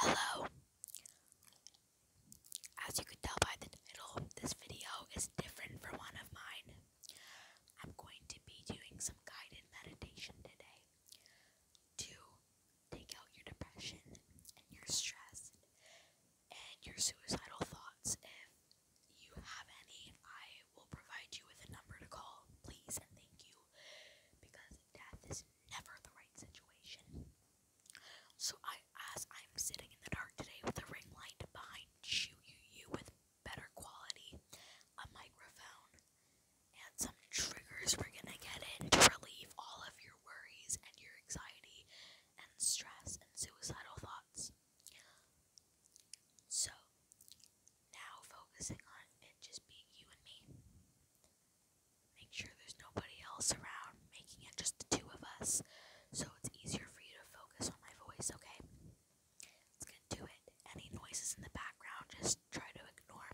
Hello. As you can tell by the title, this video is different from one of mine. I'm going to be doing some guided meditation today to take out your depression and your stress and your suicidal thoughts if you have any, I will provide you with a number to call, please and thank you, because death is never the right situation. So I, as I'm sitting in the dark today with a ring light behind you, you, you with better quality, a microphone, and some triggers we're gonna get in to relieve all of your worries and your anxiety and stress and suicidal thoughts. So, now focusing on it just being you and me. Make sure there's nobody else around, making it just the two of us so it's easier for you to focus on my voice, okay? Let's get to it. Any noises in the background, just try to ignore.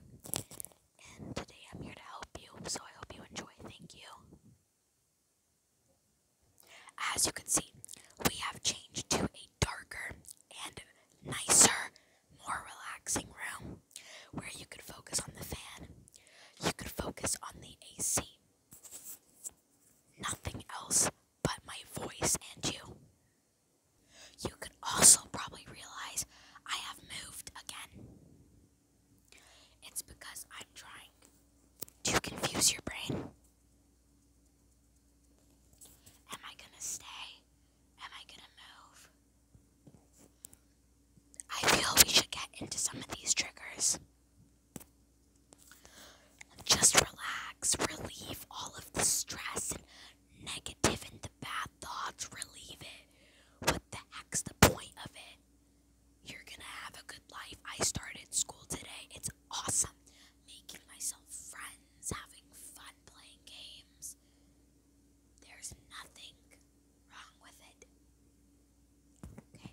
And today I'm here to help you, so I hope you enjoy. Thank you. As you can see, we have changed to a darker and nicer, more relaxing room where you could focus on the fan, you could focus on the AC, nothing else but my voice and you. You could also probably realize I have moved again. It's because I'm trying to confuse your brain. Am I gonna stay? Am I gonna move? I feel we should get into some of these triggers. Just relax, relieve all of the stress and negative and the bad thoughts, relieve it. What the the point of it? You're gonna have a good life. I started school today. It's awesome. Making myself friends, having fun playing games. There's nothing wrong with it. Okay.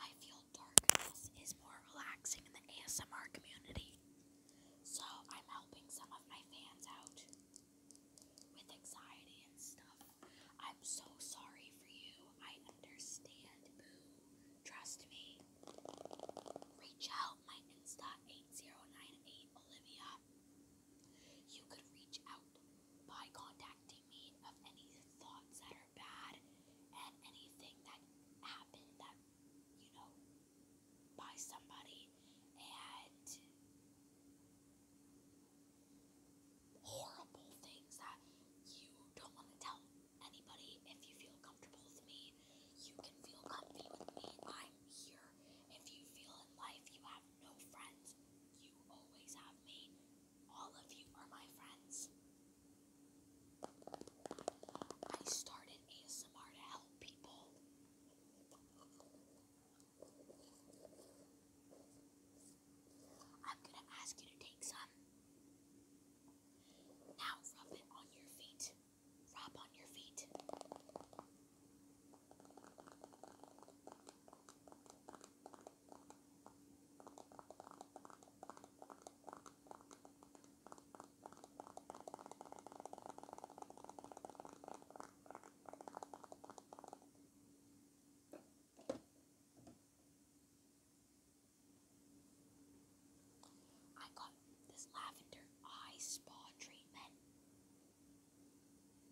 I feel darkness is more relaxing in the ASMR community. So I'm helping some of my fans out with anxiety and stuff. I'm so sorry for you. I understand, Trust me. Reach out, my Insta 8098 Olivia. You could reach out by contacting me of any thoughts that are or bad, and anything that happened that, you know, by somebody, and horrible things that you don't want to tell anybody. If you feel comfortable with me, you can feel comfy with me. I'm here. If you feel in life you have no friends, you always have me. All of you are my friends. I started ASMR to help people. I'm gonna ask you to take some. Now rub it on your feet. Rub on your feet. I got this lavender eye spa treatment.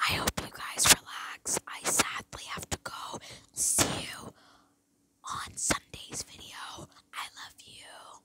I hope you guys relax. I sadly have to go. See you on Sunday's video. I love you.